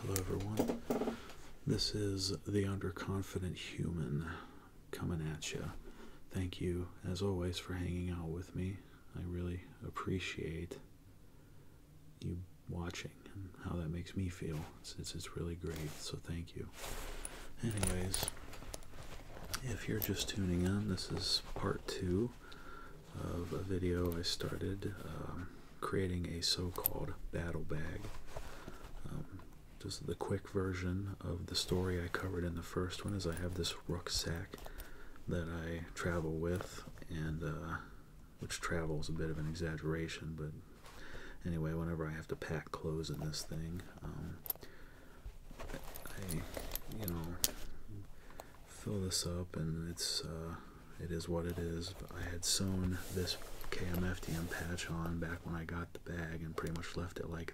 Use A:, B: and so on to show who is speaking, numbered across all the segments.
A: Hello, everyone. This is The Underconfident Human coming at you. Thank you, as always, for hanging out with me. I really appreciate you watching and how that makes me feel. since it's, really great, so thank you. Anyways, if you're just tuning in, this is part two of a video I started um, creating a so-called battle bag. Um, just the quick version of the story I covered in the first one is I have this rucksack that I travel with and uh, which travel is a bit of an exaggeration but anyway whenever I have to pack clothes in this thing um, I you know fill this up and it's uh, it is what it is I had sewn this KMFDM patch on back when I got the bag and pretty much left it like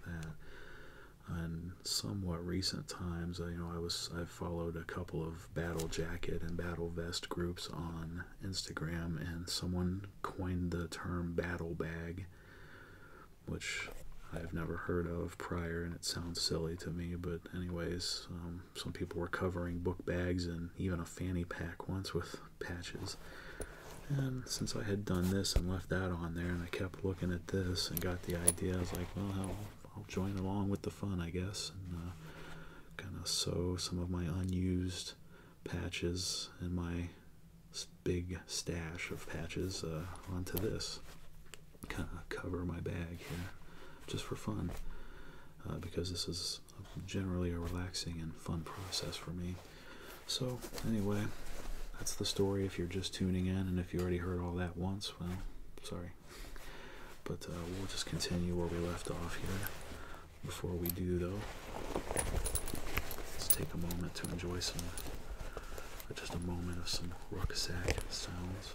A: and somewhat recent times, you know, I was I followed a couple of battle jacket and battle vest groups on Instagram, and someone coined the term battle bag, which I've never heard of prior, and it sounds silly to me. But anyways, um, some people were covering book bags and even a fanny pack once with patches. And since I had done this and left that on there, and I kept looking at this and got the idea, I was like, well, I'll, join along with the fun, I guess, and uh, kind of sew some of my unused patches and my big stash of patches uh, onto this. Kind of cover my bag here just for fun uh, because this is generally a relaxing and fun process for me. So, anyway, that's the story if you're just tuning in, and if you already heard all that once, well, sorry. But uh, we'll just continue where we left off here. Before we do, though, let's take a moment to enjoy some, uh, just a moment of some rucksack sounds.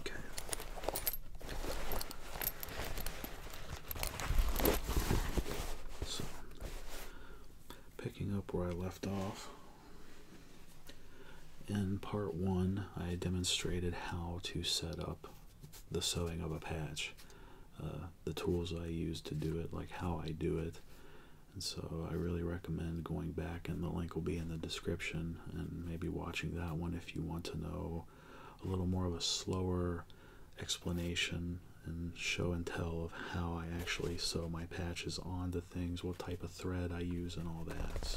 A: Okay. So, picking up where I left off, in part one, I demonstrated how to set up the sewing of a patch, uh, the tools I use to do it, like how I do it, and so I really recommend going back, and the link will be in the description, and maybe watching that one if you want to know a little more of a slower explanation and show and tell of how I actually sew my patches onto things, what type of thread I use, and all that.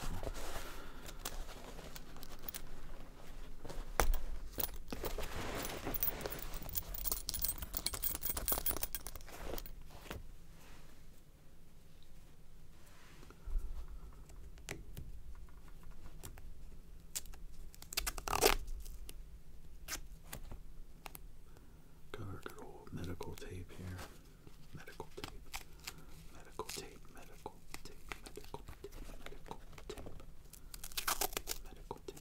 A: Got our good old medical tape here. Medical tape. Medical tape. Medical tape. Medical tape. Medical tape. Medical tape.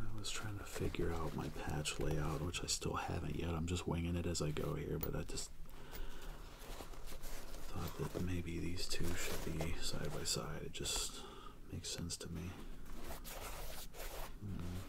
A: I was trying to figure out my patch layout, which I still haven't yet, I'm just winging it as I go here, but I just thought that maybe these two should be side by side. It just makes sense to me. Hmm.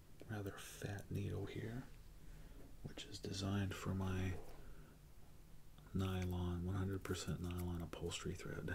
A: rather fat needle here, which is designed for my nylon, 100% nylon upholstery thread.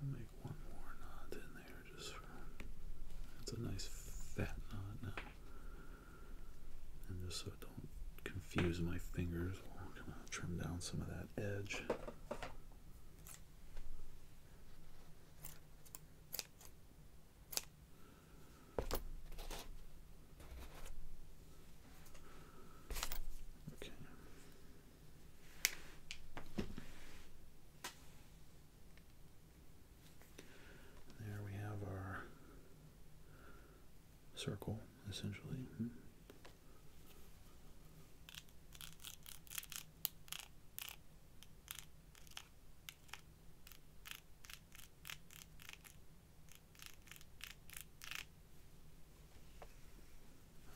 A: I'll make one more knot in there just it's a nice fat knot now. And just so it don't confuse my fingers, we'll kind of trim down some of that edge. There we have our circle essentially. Hmm.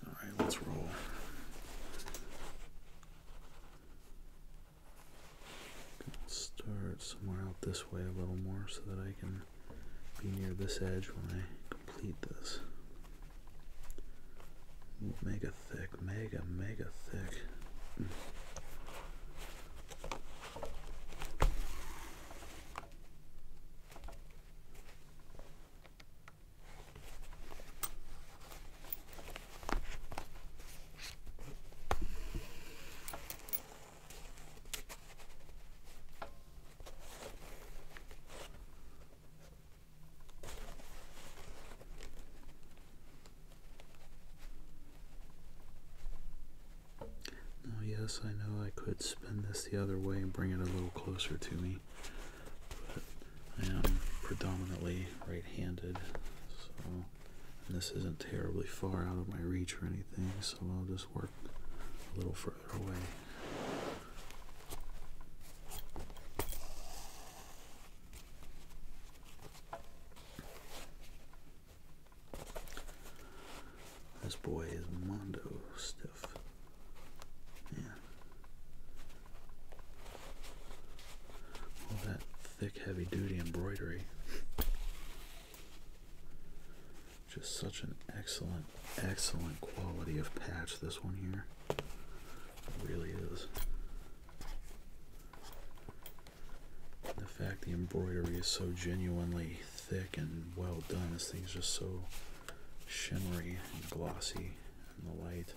A: All right, let's roll. Start somewhere out this way a little more so that I can be near this edge when I complete this. Mega thick, mega, mega thick. Oh, yes, I know I could spin this the other way and bring it a little closer to me, but I am predominantly right handed, so this isn't terribly far out of my reach or anything, so I'll just work a little further. This boy is Mondo stiff. Yeah. All that thick, heavy duty embroidery. Just such an excellent excellent quality of patch, this one here. really is. The fact the embroidery is so genuinely thick and well done, this thing is just so shimmery and glossy in the light.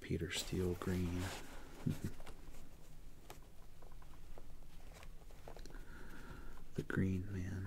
A: Peter Steele green. the green man.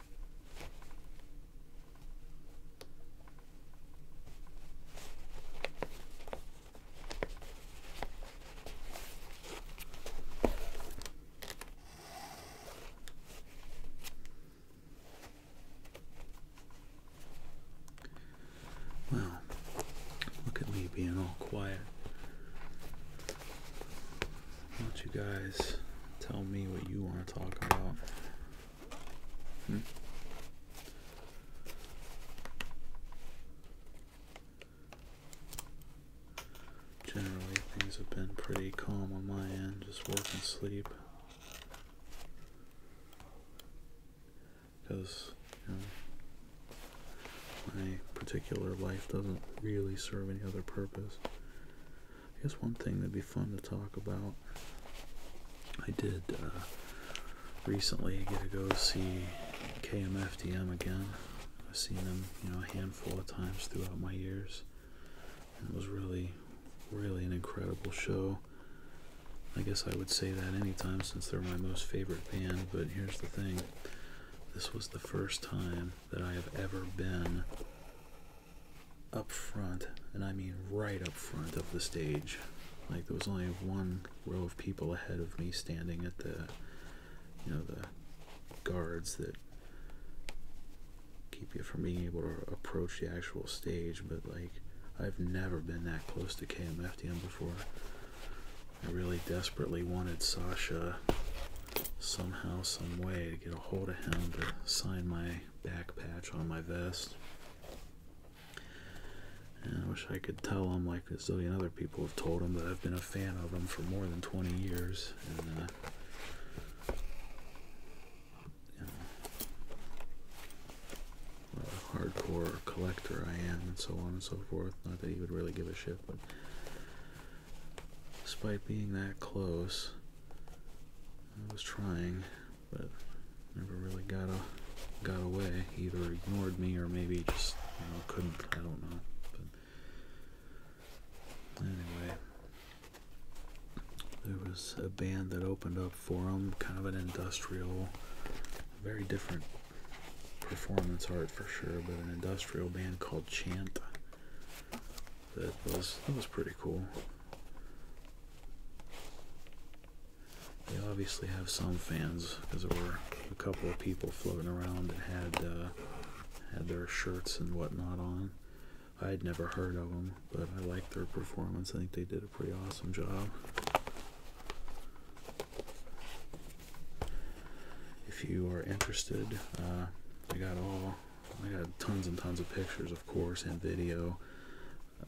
A: Well, look at me being all quiet don't you guys tell me what you want to talk about? Hmm? Generally, things have been pretty calm on my end, just work and sleep. Because, my particular life doesn't really serve any other purpose. I guess one thing that'd be fun to talk about. I did uh, recently get to go see KMFDM again. I've seen them, you know, a handful of times throughout my years. it was really, really an incredible show. I guess I would say that anytime since they're my most favorite band, but here's the thing. This was the first time that I have ever been up front, and I mean right up front of the stage. Like there was only one row of people ahead of me standing at the, you know, the guards that keep you from being able to approach the actual stage. But like, I've never been that close to KMFDM before. I really desperately wanted Sasha somehow, some way to get a hold of him to sign my back patch on my vest. And I wish I could tell him, like a zillion other people have told him, that I've been a fan of them for more than 20 years. And, uh, what a hardcore collector I am, and so on and so forth. Not that he would really give a shit, but despite being that close, I was trying, but never really got got away. Either ignored me or maybe just couldn't. I don't know. But anyway, there was a band that opened up for them, kind of an industrial, very different performance art for sure, but an industrial band called Chant. That was that was pretty cool. They obviously have some fans because there were a couple of people floating around that had uh, had their shirts and whatnot on. I would never heard of them, but I liked their performance. I think they did a pretty awesome job. If you are interested, I uh, got all I got tons and tons of pictures, of course, and video.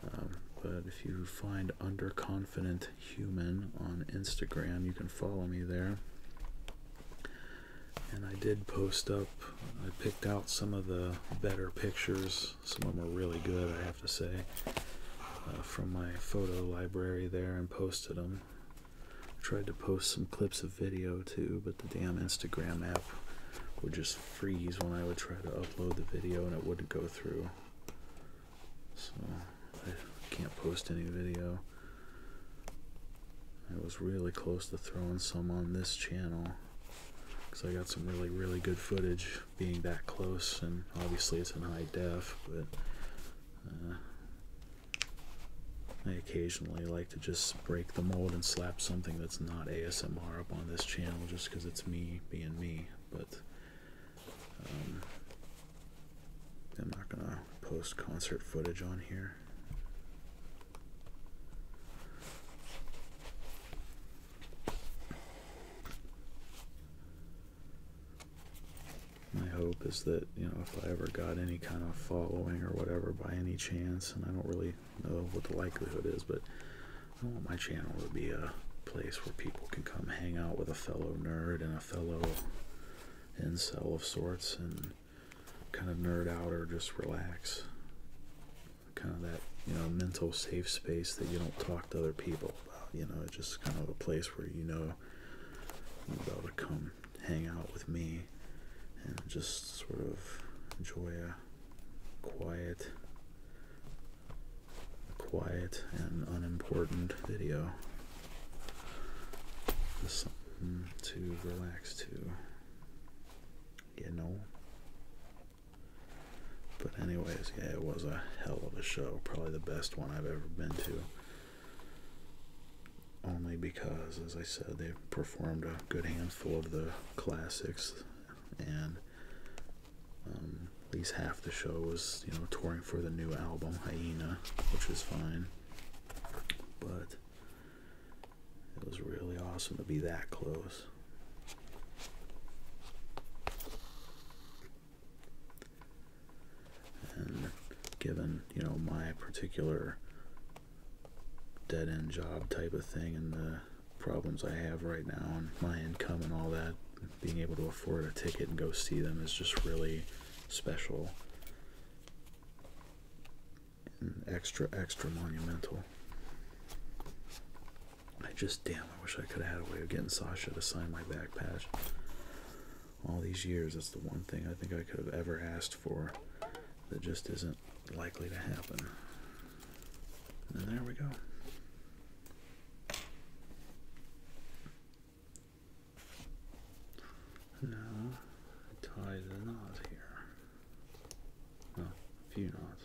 A: Um, but if you find Underconfident Human on Instagram, you can follow me there. And I did post up, I picked out some of the better pictures. Some of them are really good, I have to say, uh, from my photo library there and posted them. tried to post some clips of video too, but the damn Instagram app would just freeze when I would try to upload the video and it wouldn't go through. So I can't post any video. I was really close to throwing some on this channel because I got some really, really good footage being that close, and obviously it's in high def, but uh, I occasionally like to just break the mold and slap something that's not ASMR up on this channel just because it's me being me. But um, I'm not gonna post concert footage on here. My hope is that you know if I ever got any kind of following or whatever by any chance, and I don't really know what the likelihood is, but I uh, want my channel to be a place where people can come hang out with a fellow nerd and a fellow incel of sorts and kind of nerd out or just relax. Kind of that, you know, mental safe space that you don't talk to other people about. You know, just kind of a place where you know you're able to come hang out with me and just sort of enjoy a quiet, quiet and unimportant video. something mm, to relax to, you know. But anyways, yeah, it was a hell of a show. Probably the best one I've ever been to. Only because, as I said, they performed a good handful of the classics and um, at least half the show was, you know, touring for the new album Hyena, which is fine. But it was really awesome to be that close. And given, you know, my particular dead end job type of thing and the problems I have right now and my income and all that, being able to afford a ticket and go see them is just really special and extra, extra monumental. I just damn, I wish I could have had a way of getting Sasha to sign my back patch. All these years, that's the one thing I think I could have ever asked for that just isn't likely to happen. And there we go. Now tie the knot here. Well, a few knots.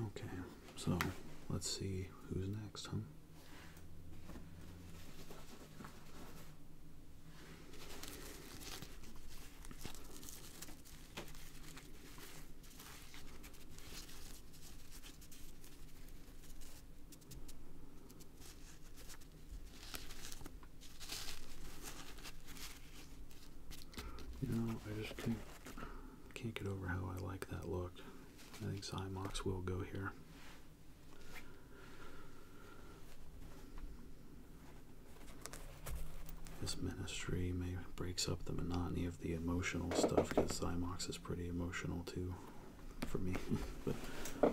A: Okay, so let's see who's next, huh? You know, I just can't, can't get over how I like that look. I think Zymox will go here. This ministry may breaks up the monotony of the emotional stuff because Symox is pretty emotional too for me.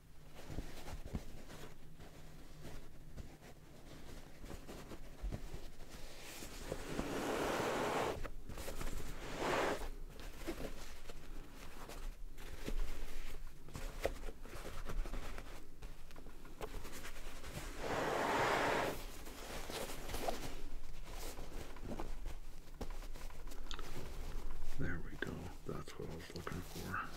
A: There we go. That's what I was looking for.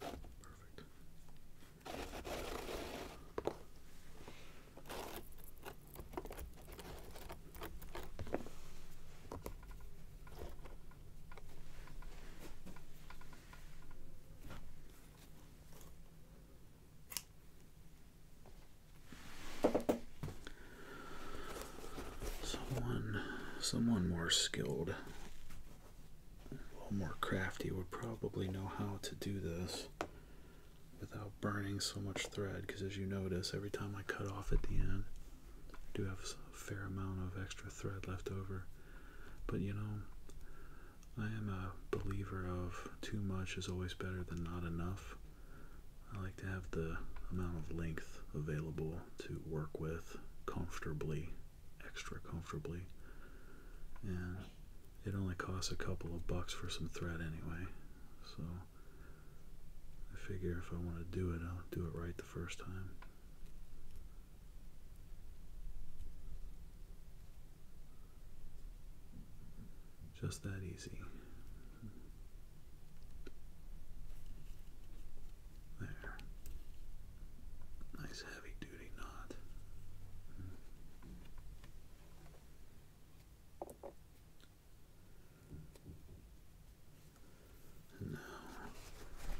A: Perfect. Someone someone more skilled a little more crafty would probably know how to do this without burning so much thread because as you notice every time I cut off at the end I do have a fair amount of extra thread left over but you know I am a believer of too much is always better than not enough I like to have the amount of length available to work with comfortably extra comfortably. And it only costs a couple of bucks for some thread anyway. So I figure if I want to do it, I'll do it right the first time. Just that easy. There. Nice heavy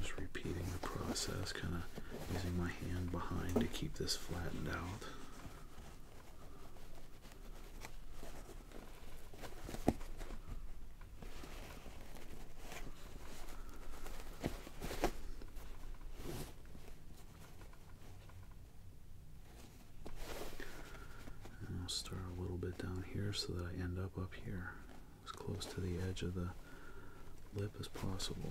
A: just repeating the process, kind of using my hand behind to keep this flattened out. And I'll start a little bit down here so that I end up up here, as close to the edge of the lip as possible.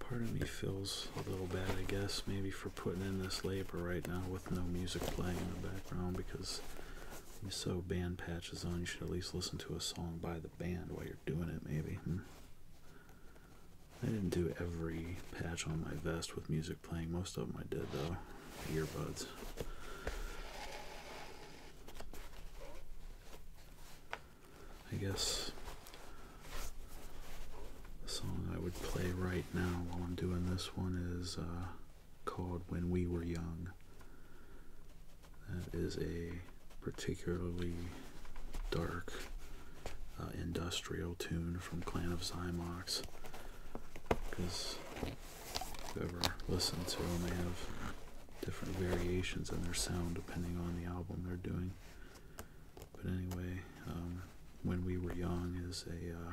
A: Part of me feels a little bad, I guess, maybe for putting in this labor right now with no music playing in the background because you sew band patches on, you should at least listen to a song by the band while you're doing it, maybe. Hmm? I didn't do every patch on my vest with music playing. Most of them I did though, earbuds. I guess the song I would play right now while I'm doing this one is uh, called When We Were Young. That is a particularly dark uh, industrial tune from Clan of Xymox. because ever listened to them. They have different variations in their sound depending on the album they're doing. But anyway, um, When We Were Young is a. Uh,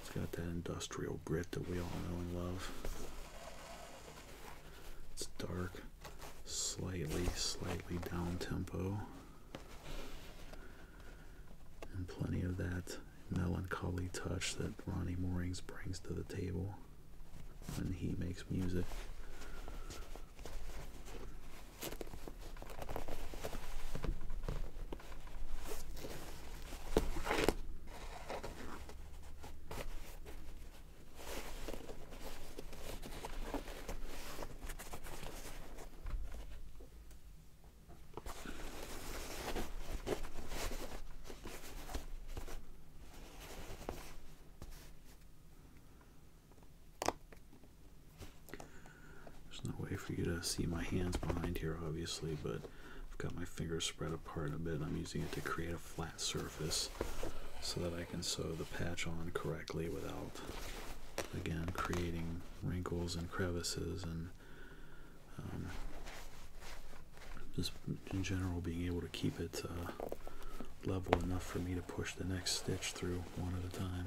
A: it's got that industrial grit that we all know and love. It's dark, slightly, slightly down tempo and plenty of that melancholy touch that Ronnie Moorings brings to the table when he makes music. There's no way for you to see my hands behind here, obviously, but I've got my fingers spread apart a bit. I'm using it to create a flat surface so that I can sew the patch on correctly without, again, creating wrinkles and crevices and um, just in general, being able to keep it uh, level enough for me to push the next stitch through one at a time.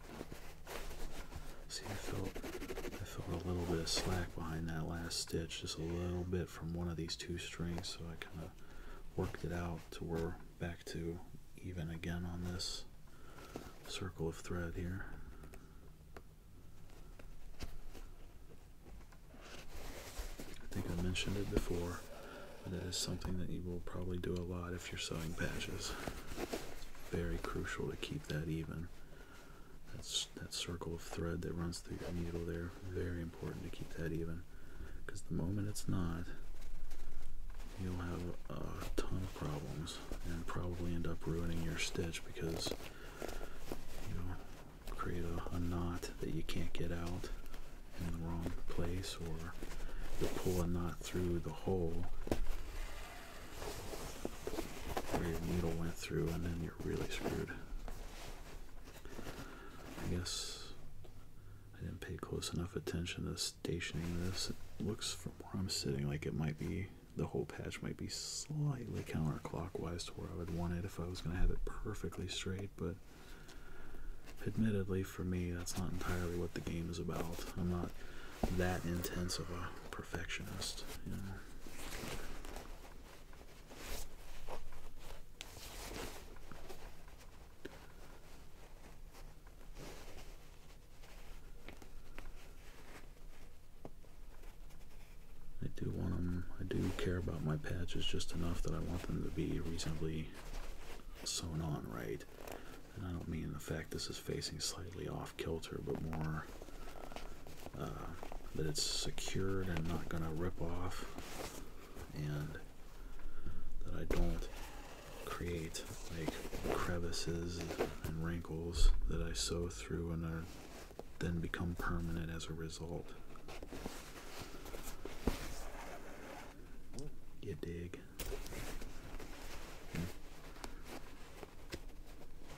A: See, I felt, a little bit of slack behind that last stitch, just a little bit from one of these two strings, so I kind of worked it out to we're back to even again on this circle of thread here. I think I mentioned it before, but it is something that you will probably do a lot if you're sewing patches. very crucial to keep that even. That's that circle of thread that runs through your needle there. Very important to keep that even, because the moment it's not, you'll have a ton of problems and probably end up ruining your stitch because you'll create a, knot that you can't get out in the wrong place, or you pull a knot through the hole where your needle went through, and then you're really screwed. I guess I didn't pay close enough attention to stationing this. It looks from where I'm sitting like it might be the whole patch might be slightly counterclockwise to where I would want it if I was going to have it perfectly straight, but admittedly for me that's not entirely what the game is about. I'm not that intense of a perfectionist. I do want them, I do care about my patches just enough that I want them to be reasonably sewn on right and I don't mean the fact this is facing slightly off kilter, but more uh, that it's secured and not going to rip off, and that I don't create like crevices and wrinkles that I sew through and are then become permanent as a result. You dig? Hmm?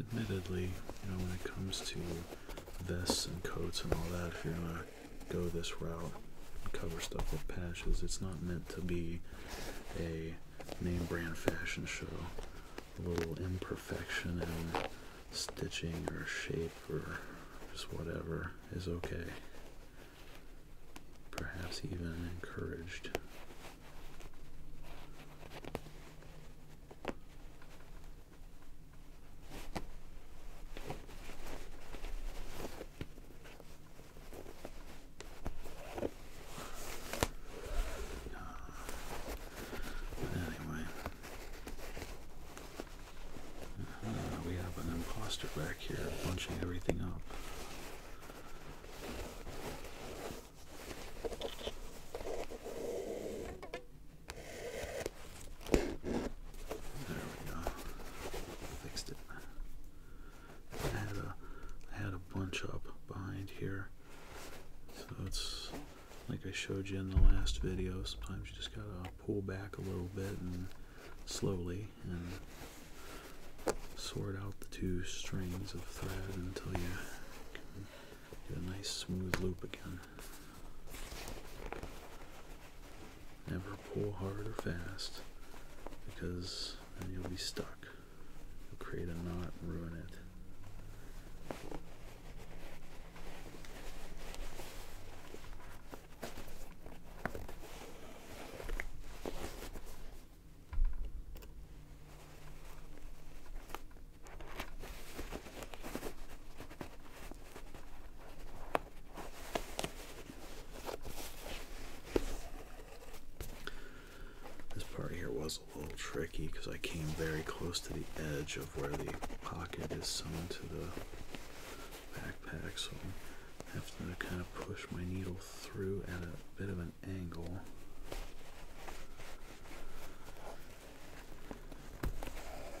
A: admittedly, you know, when it comes to vests and coats and all that, if you're gonna go this route and cover stuff with patches, it's not meant to be a name brand fashion show. A little imperfection in stitching or shape or just whatever is okay. Perhaps even encouraged anyway, uh, we have an imposter back here bunching everything up. There we go. Fixed it. I had a, I had a bunch up behind here. So it's like I showed you in the last video. Sometimes you just gotta pull back a little bit and slowly and sort out the two strings of thread until you get a nice smooth loop again. Never pull hard or fast because you'll be stuck. You'll create a knot and ruin it. This part here was a little tricky because I came very close to the edge of where the pocket is sewn to the backpack, so I have to kind of push my needle through at a bit of an angle.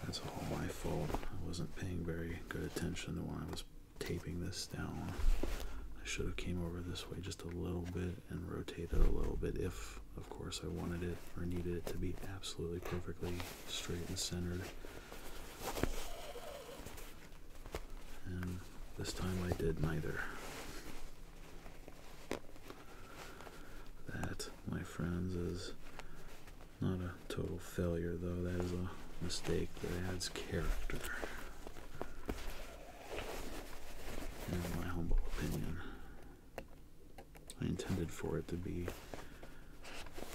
A: That's all my fault. I wasn't paying very good attention to when I was taping this down. I should have came over this way just a little bit and rotated a little bit if, of course, I wanted it or needed it to be absolutely perfectly straight and centered. And this time I did neither. That my friends, is not a total failure, though. That is a mistake that adds character, in my humble opinion. I intended for it to be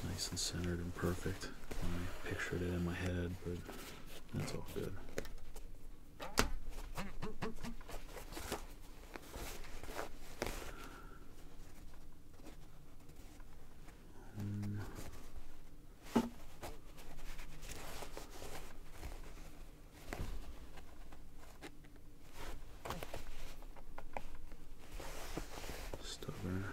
A: nice and centered and perfect. I pictured it in my head, but that's all good. Um, stubborn.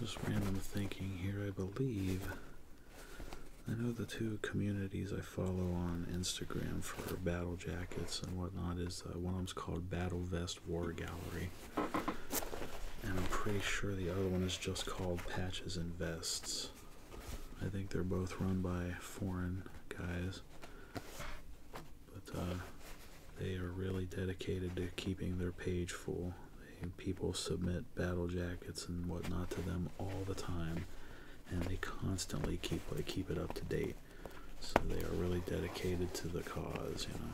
A: Just random thinking here, I believe I know the two communities I follow on Instagram for battle jackets and whatnot is uh, one of them's called Battle Vest War Gallery, and I'm pretty sure the other one is just called Patches and Vests. I think they're both run by foreign guys, but uh, they are really dedicated to keeping their page full people submit battle jackets and whatnot to them all the time, and they constantly keep like keep it up to date. So they are really dedicated to the cause, you know.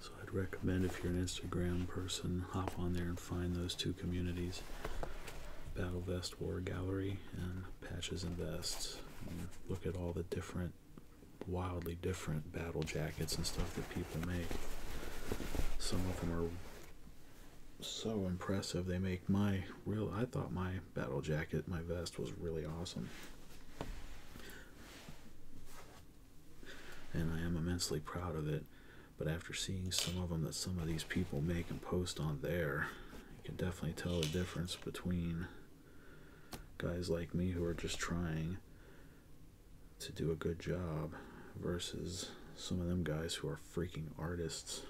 A: So I'd recommend if you're an Instagram person, hop on there and find those two communities. Battle Vest War Gallery and Patches and Vests. look at all the different wildly different battle jackets and stuff that people make. Some of them are so impressive. They make my real. I thought my battle jacket, my vest, was really awesome. And I am immensely proud of it. But after seeing some of them that some of these people make and post on there, you can definitely tell the difference between guys like me who are just trying to do a good job versus some of them guys who are freaking artists.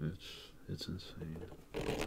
A: It's it's insane.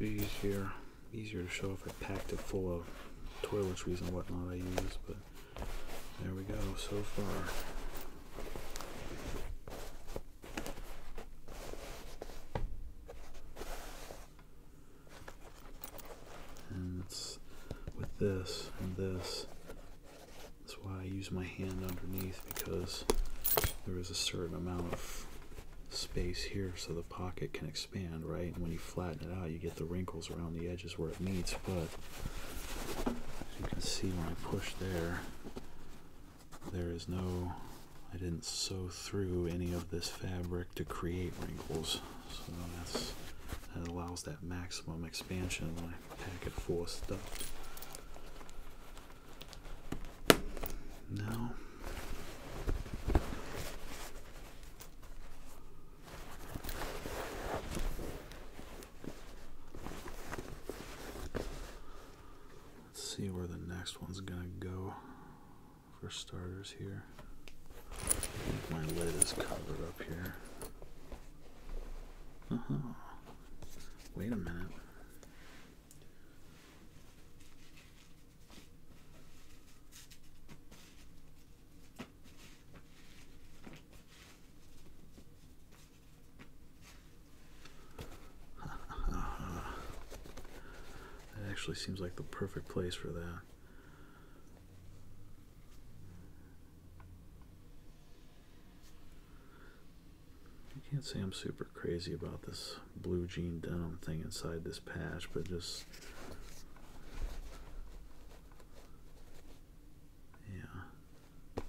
A: easier, easier to show if I packed it full of toiletries and whatnot I use, but there we go so far. And it's with this and this that's why I use my hand underneath because there is a certain amount of space here so the pocket can expand, right? And when you flatten it out, you get the wrinkles around the edges where it meets. But as you can see when I push there, there is no, I didn't sew through any of this fabric to create wrinkles. So that allows that maximum expansion when I my packet for stuff. Now, let's see where the next one's gonna go for starters here. my lid is covered up here. Uh -huh. Wait a minute. That actually seems like the perfect place for that. I can't say I'm super crazy about this blue jean denim thing inside this patch, but just yeah,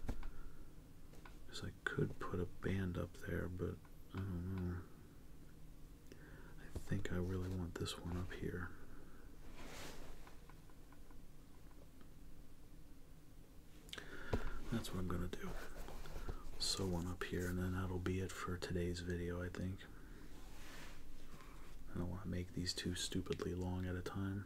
A: because I could put a band up there, but I don't know. I think I really want this one up here. That's what I'm going to do. Sew one up here, and then that'll be it for today's video, I think. I don't want to make these too stupidly long at a time.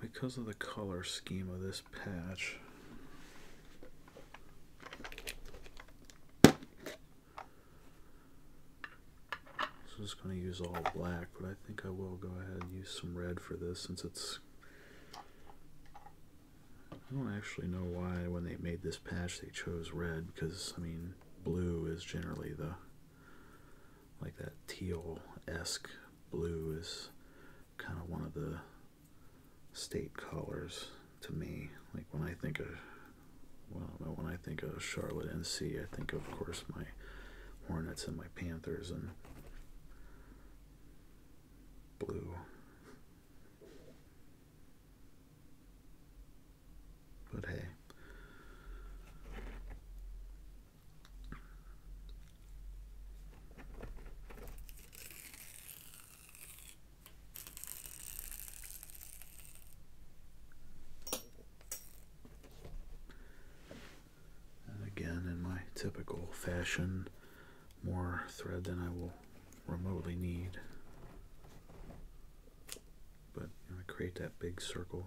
A: because of the color scheme of this patch, so I'm just going to use all black, but I think I will go ahead and use some red for this since it's... I don't actually know why when they made this patch they chose red because, I mean, blue is generally the... like that teal-esque blue is kind of one of the state colors to me. Like when I think of, well, when I think of Charlotte NC, I think of course, my Hornets and my Panthers and blue. But hey. And again, in my typical fashion, more thread than I will remotely need. But I create that big circle.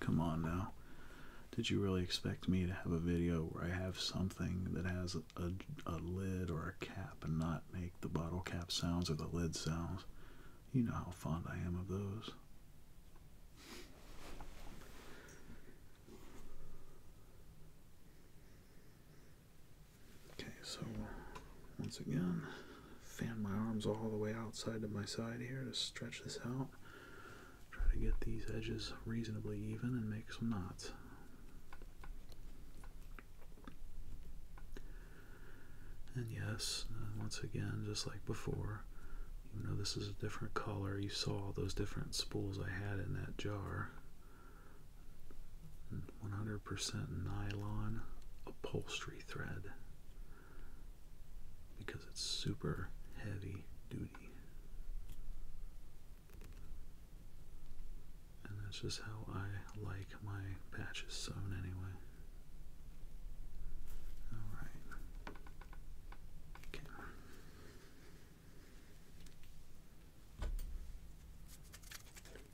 A: Come on now. Did you really expect me to have a video where I have something that has a, a, lid or a cap and not make the bottle cap sounds or the lid sounds? You know how fond I am of those. Okay, so once again, fan my arms all the way outside to my side here to stretch this out. Try to get these edges reasonably even and make some knots. And yes, uh, once again, just like before, even though this is a different color, you saw those different spools I had in that jar. 100% nylon upholstery thread because it's super heavy duty. And that's just how I like my patches sewn anyway. Alright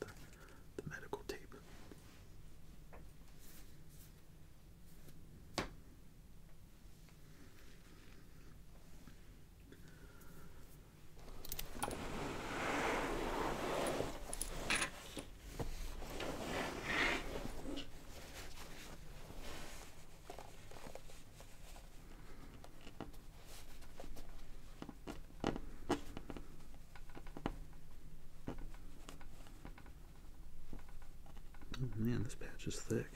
A: the, the medical tape. Oh, man, this patch is thick.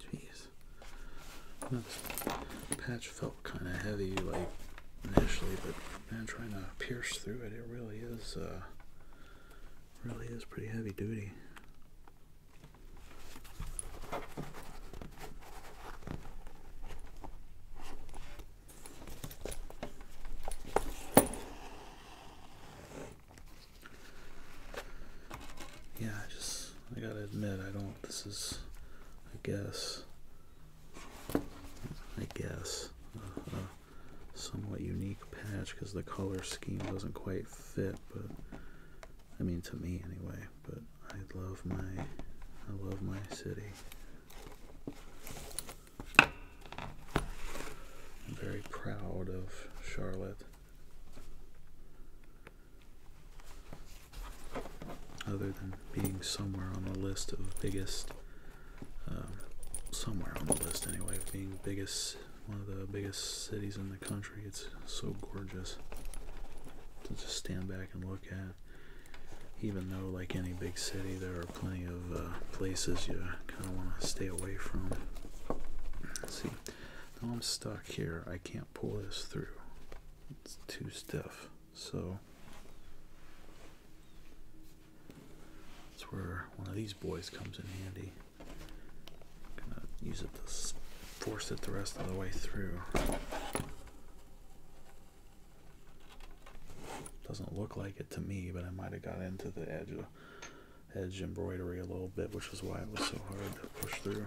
A: Jeez. This patch fell kind of heavy like initially, but man, trying to pierce through it, it really is, uh, really is pretty heavy duty. Yeah, I just, I gotta admit, I don't, this is, I guess, I guess, a, somewhat unique patch because the color scheme doesn't quite fit. But I mean, to me anyway. But I love my, I love my city. I'm very proud of Charlotte other than being somewhere on the list of biggest, um, somewhere on the list anyway, of being biggest, one of the biggest cities in the country. It's so gorgeous to just stand back and look at. Even though, like any big city, there are plenty of uh, places you kind of want to stay away from. see, now I'm stuck here. I can't pull this through. It's too stiff. So that's where one of these boys comes in handy. gonna use it to force it the rest of the way through. Doesn't look like it to me, but I might have got into the edge edge embroidery a little bit, which is why it was so hard to push through.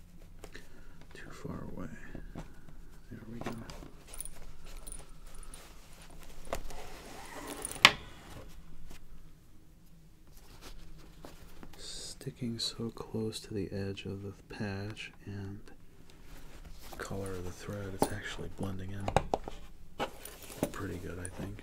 A: Too far away. There we go. Sticking so close to the edge of the patch and color of the thread, it's actually blending in pretty good, I think.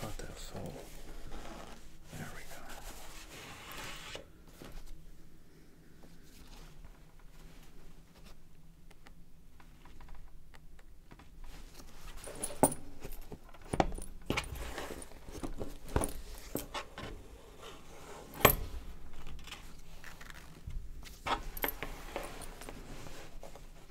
A: Got that soul. There we go.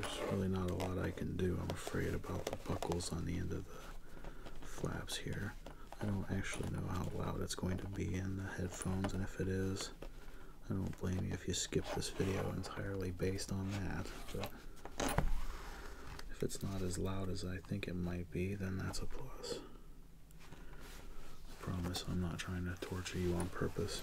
A: there's really not a lot I can do, I'm afraid, about the buckles on the end of the flaps here. I don't actually know how loud it's going to be in the headphones, and if it is, I don't blame you if you skip this video entirely based on that. But if it's not as loud as I think it might be, then that's a plus. promise I'm not trying to torture you on purpose.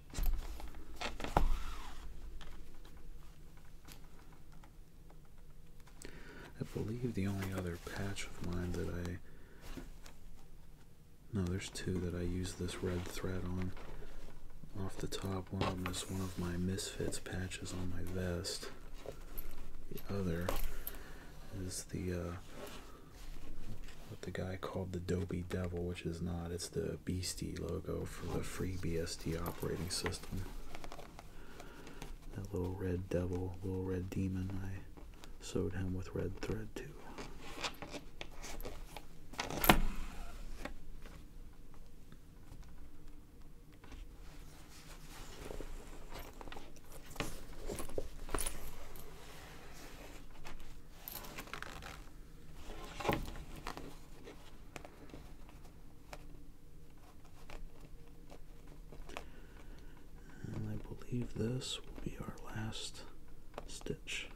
A: I believe the only other patch of mine that I. No, there's two that I use this red thread on. Off the top, one is one of my Misfits patches on my vest. The other is the, uh, what the guy called the Dopey Devil, which is not. It's the the logo for the free BSD operating system. That little red devil, little red demon, I sewed him with red thread too. I believe this will be our last stitch.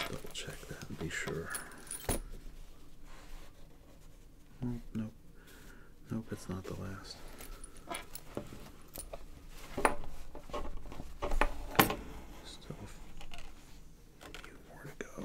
A: Let's double check that be sure nope. Nope, it's not the last. Still a few more to go.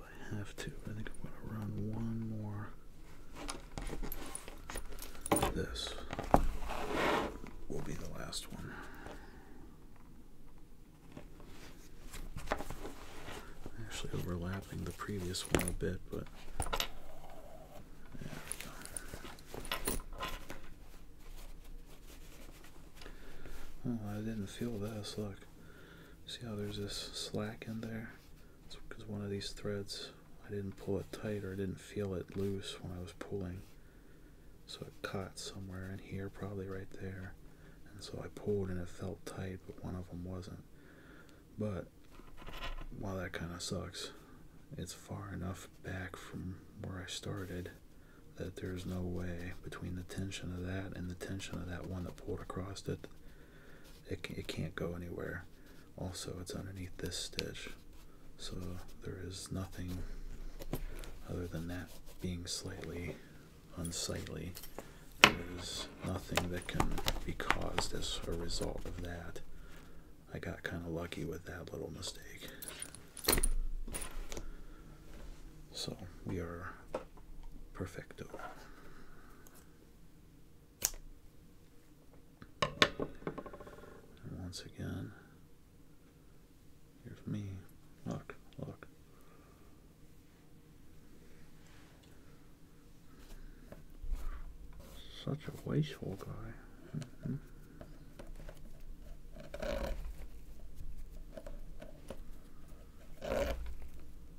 A: if I have to. I think I'm going to run one more this will be the last one. Actually overlapping the previous one a bit, but there we oh, I didn't feel this. Look, see how there's this slack in there? because one of these threads, I didn't pull it tight or I didn't feel it loose when I was pulling. So it caught somewhere in here, probably right there. And so I pulled and it felt tight, but one of them wasn't. But while that kind of sucks, it's far enough back from where I started that there's no way between the tension of that and the tension of that one that pulled across it it, it can't go anywhere. Also, it's underneath this stitch, so there is nothing other than that being slightly unsightly. There's nothing that can be caused as a result of that. I got kind of lucky with that little mistake. So we are perfecto once again, here's me. Look, look. Such a wasteful guy.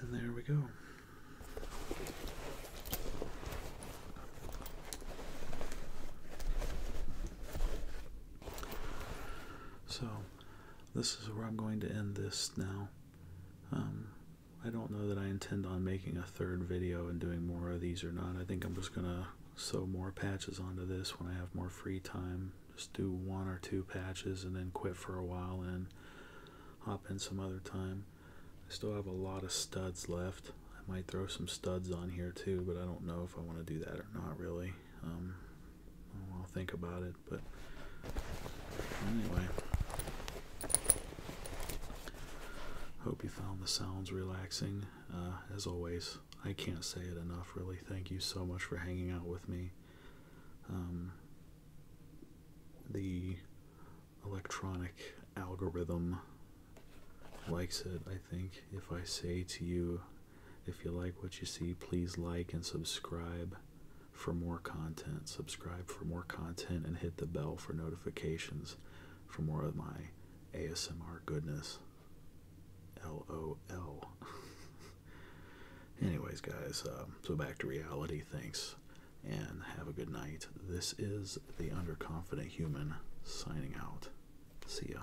A: And there we go. So, this is where I'm going to end this now. Um, I don't know that I intend on making a third video and doing more of these or not. I think I'm just going to sew more patches onto this when I have more free time. Just do one or two patches and then quit for a while and hop in some other time. I still have a lot of studs left. I might throw some studs on here too, but I don't know if I want to do that or not really. Um, I'll think about it but anyway. Hope you found the sounds relaxing. Uh, as always, I can't say it enough, really. Thank you so much for hanging out with me. Um, the electronic algorithm likes it, I think. If I say to you, if you like what you see, please like and subscribe for more content, subscribe for more content, and hit the bell for notifications for more of my ASMR goodness. LOL. Anyways, guys, uh, so back to reality. Thanks, and have a good night. This is the Underconfident Human signing out. See ya.